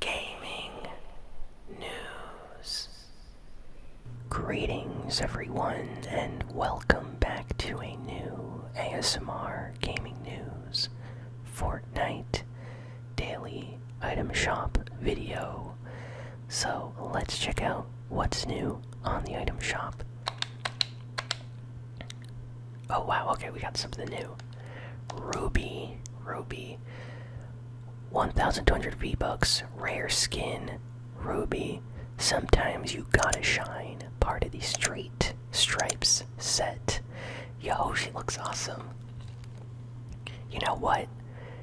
gaming news. Greetings, everyone, and welcome back to a new ASMR Gaming News Fortnite Daily Item Shop video. So let's check out what's new on the item shop. Oh wow, okay, we got something new. Ruby. Ruby. 1200 V-Bucks, rare skin, ruby. Sometimes you gotta shine. Part of the street stripes set. Yo, she looks awesome. You know what?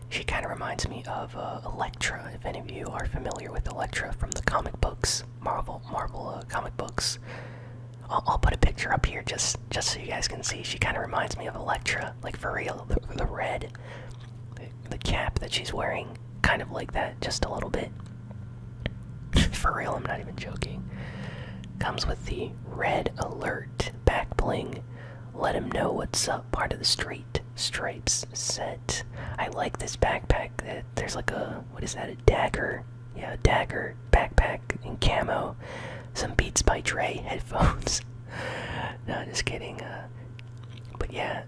She kind of reminds me of uh, Elektra. If any of you are familiar with Elektra from the comic books, Marvel Marvel uh, comic books, I'll, put a picture up here just just so you guys can see. She kind of reminds me of Elektra, like for real. The, red, the, the cap that she's wearing, kind of like that, just a little bit. for real, I'm not even joking. Comes with the red alert back bling. Let him know what's up. Part of the street stripes set. I like this backpack. That there's like a what is that? A dagger? Yeah, a dagger backpack, and camo. Some Beats by Dre headphones. no, just kidding. Uh, but yeah,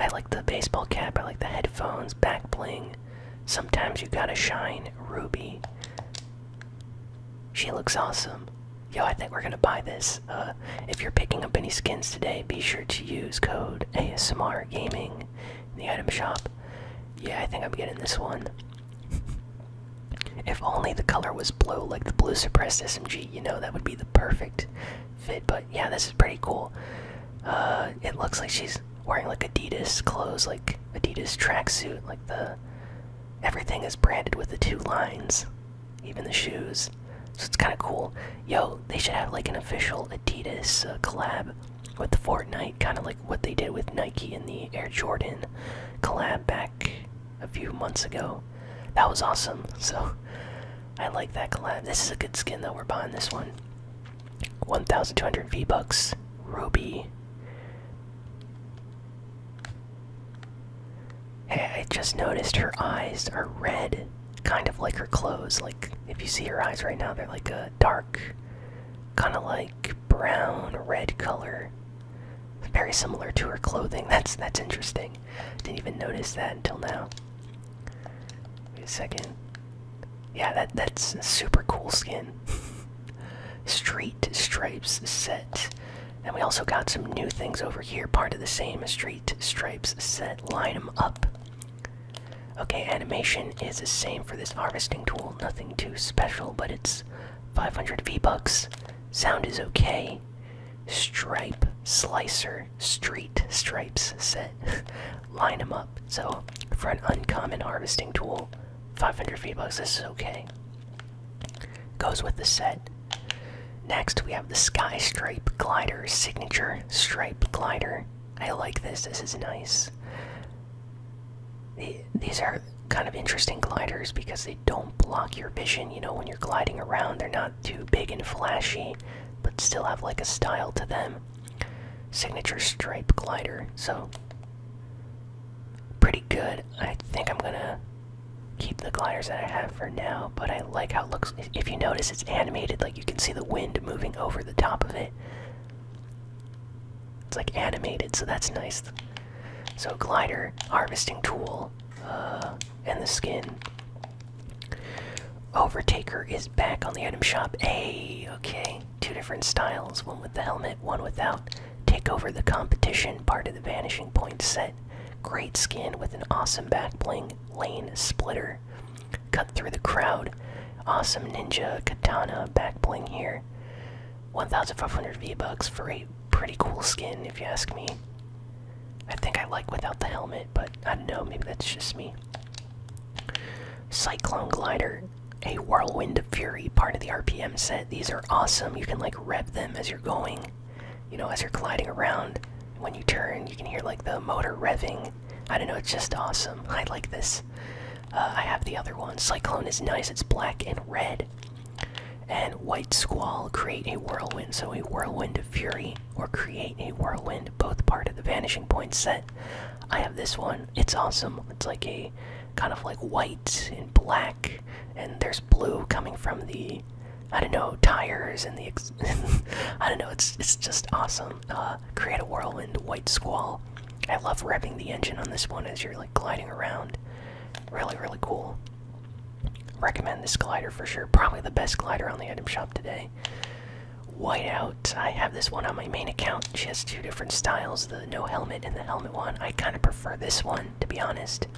I like the baseball cap. I like the headphones, back bling. Sometimes you gotta shine, Ruby. She looks awesome. Yo, I think we're gonna buy this. Uh, if you're picking up any skins today, be sure to use code ASMR Gaming in the item shop. Yeah, I think I'm getting this one if only the color was blue, like the blue suppressed SMG, you know, that would be the perfect fit. But yeah, this is pretty cool. Uh, it looks like she's wearing like Adidas clothes, like Adidas tracksuit, like the everything is branded with the two lines, even the shoes. So it's kind of cool. Yo, they should have like an official Adidas uh, collab with the Fortnite, kind of like what they did with Nike and the Air Jordan collab back a few months ago. That was awesome. So I like that collab. This is a good skin though. We're buying this one. 1,200 V bucks. Ruby. Hey, I just noticed her eyes are red, kind of like her clothes. Like if you see her eyes right now, they're like a dark, kind of like brown red color. Very similar to her clothing. That's that's interesting. Didn't even notice that until now. Wait a second. Yeah, that that's super cool skin. street stripes set. And we also got some new things over here, part of the same street stripes set. Line them up. Okay, animation is the same for this harvesting tool. Nothing too special, but it's 500 V bucks. Sound is okay. Stripe, slicer, street stripes set. Line them up. So for an uncommon harvesting tool, 500 V bucks. This is okay. Goes with the set. Next, we have the Sky Stripe Glider Signature Stripe Glider. I like this. This is nice. These are kind of interesting gliders because they don't block your vision. You know, when you're gliding around, they're not too big and flashy, but still have like a style to them. Signature stripe glider, so pretty good. I think I'm gonna keep the gliders that I have for now, but I like how it looks. If you notice, it's animated, like you can see the wind moving over the top of it. It's like animated, so that's nice. So glider, harvesting tool, uh, and the skin. Overtaker is back on the item shop. A okay. Two different styles, one with the helmet, one without. Take over the competition, part of the vanishing point set. Great skin with an awesome back bling, lane splitter. Cut through the crowd. Awesome ninja katana back bling here. 1500 V-Bucks for a pretty cool skin, if you ask me. I think I like without the helmet, but I don't know, maybe that's just me. Cyclone Glider, a Whirlwind of Fury, part of the RPM set. These are awesome. You can like rev them as you're going, you know, as you're gliding around. When you turn, you can hear like the motor revving. I don't know, it's just awesome. I like this uh, I have the other one. Cyclone is nice. It's black and red. And White Squall create a whirlwind. So a whirlwind of fury or create a whirlwind. Both part of the Vanishing Point set. I have this one. It's awesome. It's like a kind of like white and black, and there's blue coming from the I don't know tires and the I don't know. It's it's just awesome. Uh, create a whirlwind white squall. I love revving the engine on this one as you're like gliding around. Really, really cool. Recommend this glider for sure. Probably the best glider on the item shop today. Whiteout. I have this one on my main account. She has two different styles: the no helmet and the helmet one. I kind of prefer this one, to be honest.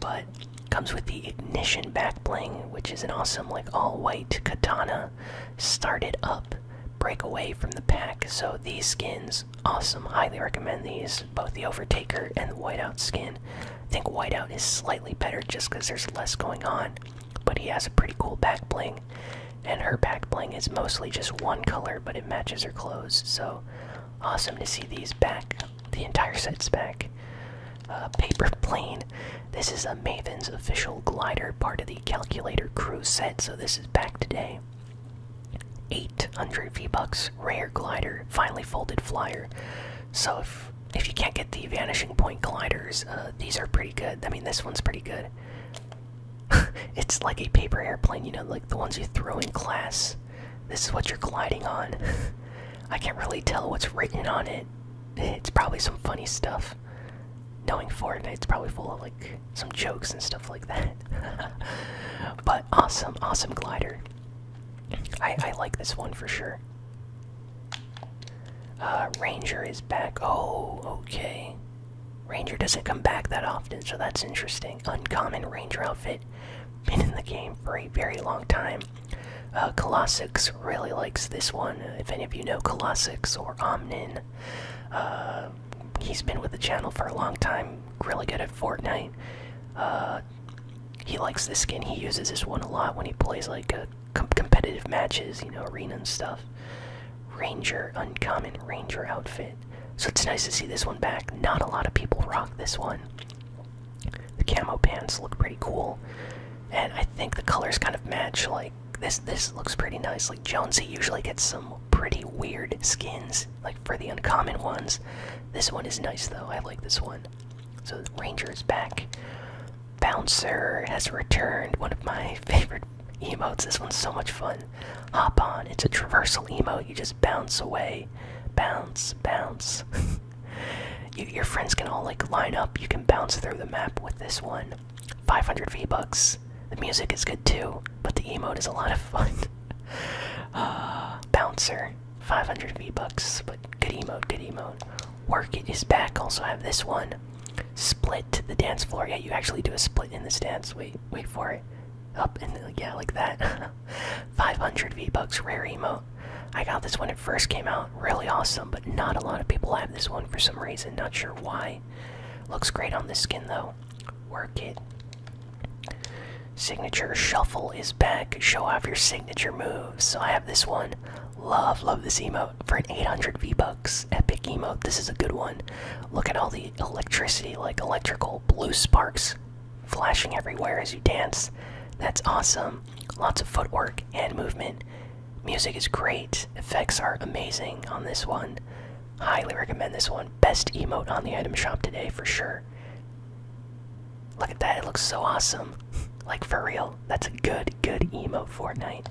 But comes with the ignition back bling, which is an awesome like all-white katana. Started up break away from the pack. So these skins, awesome. Highly recommend these. Both the Overtaker and the Whiteout skin. I think Whiteout is slightly better just because there's less going on, but he has a pretty cool back bling. And her back bling is mostly just one color, but it matches her clothes. So awesome to see these back. The entire set's back. Uh, paper plane. This is a Maven's official glider, part of the calculator crew set, so this is back today. 800 V-Bucks, rare glider, finely folded flyer. So if if you can't get the vanishing point gliders, uh, these are pretty good. I mean, this one's pretty good. it's like a paper airplane, you know, like the ones you throw in class. This is what you're gliding on. I can't really tell what's written on it. It's probably some funny stuff knowing Fortnite's probably full of like some jokes and stuff like that. but awesome, awesome glider. I, I like this one for sure. Uh, Ranger is back. Oh, okay. Ranger doesn't come back that often, so that's interesting. Uncommon Ranger outfit. Been in the game for a very long time. Uh, really likes this one. If any of you know Colossix or Omnin uh, he's been with the channel for a long time, really good at Fortnite. Uh, he likes this skin, he uses this one a lot when he plays like uh, competitive matches, you know, arena and stuff. Ranger, uncommon Ranger outfit. So it's nice to see this one back. Not a lot of people rock this one. The camo pants look pretty cool. And I think the colors kind of match, like, this this looks pretty nice like jonesy usually gets some pretty weird skins like for the uncommon ones this one is nice though i like this one so the ranger is back bouncer has returned one of my favorite emotes this one's so much fun hop on it's a traversal emote you just bounce away bounce bounce your friends can all like line up you can bounce through the map with this one 500 V-Bucks. The music is good too, but the emote is a lot of fun. Ah, bouncer, 500 V-Bucks, but good emote, good emote. Work his back, also have this one. Split the dance floor. Yeah, you actually do a split in this dance. Wait, wait for it. Up and yeah, like that. 500 V-Bucks, rare emote. I got this when it first came out, really awesome, but not a lot of people have this one for some reason, not sure why. Looks great on the skin though. Work it. Signature shuffle is back. Show off your signature moves. So I have this one. Love, love this emote for an 800 V bucks. Epic emote. This is a good one. Look at all the electricity, like electrical blue sparks flashing everywhere as you dance. That's awesome. Lots of footwork and movement. Music is great. Effects are amazing on this one. Highly recommend this one. Best emote on the item shop today for sure. Look at that, it looks so awesome. like for real. That's a good, good emote Fortnite.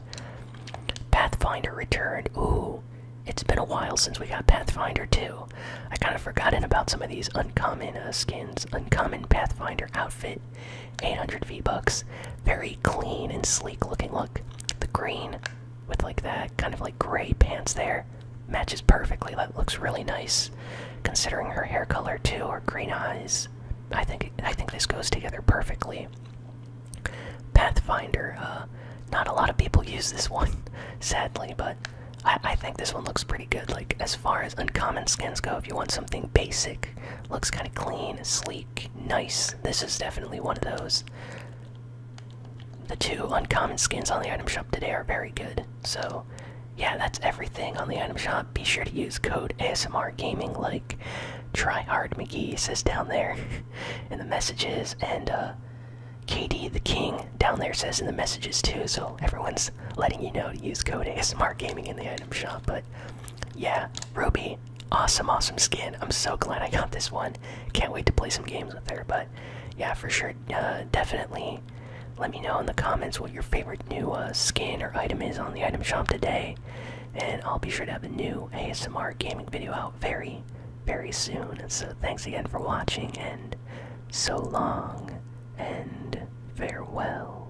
Pathfinder returned. Ooh. It's been a while since we got Pathfinder too. I kind of forgotten about some of these uncommon uh, skins, uncommon Pathfinder outfit. 800 V-Bucks. Very clean and sleek looking look. The green with like that kind of like gray pants there matches perfectly. That looks really nice considering her hair color too or green eyes. I think I think this goes together perfectly. Pathfinder, uh, not a lot of people use this one, sadly, but I, I think this one looks pretty good. Like as far as uncommon skins go, if you want something basic, looks kind of clean, sleek. Nice. This is definitely one of those. The two uncommon skins on the item shop today are very good. So, yeah, that's everything on the item shop. Be sure to use code ASMR Gaming, like Tryhard McGee says down there in the messages, and uh, KD the King down there says in the messages too. So everyone's letting you know to use code ASMR Gaming in the item shop. But yeah, Ruby, awesome, awesome skin. I'm so glad I got this one. Can't wait to play some games with her. But yeah, for sure, uh, definitely. Let me know in the comments what your favorite new uh, skin or item is on the item shop today, and I'll be sure to have a new ASMR gaming video out very, very soon. so thanks again for watching, and so long, and farewell.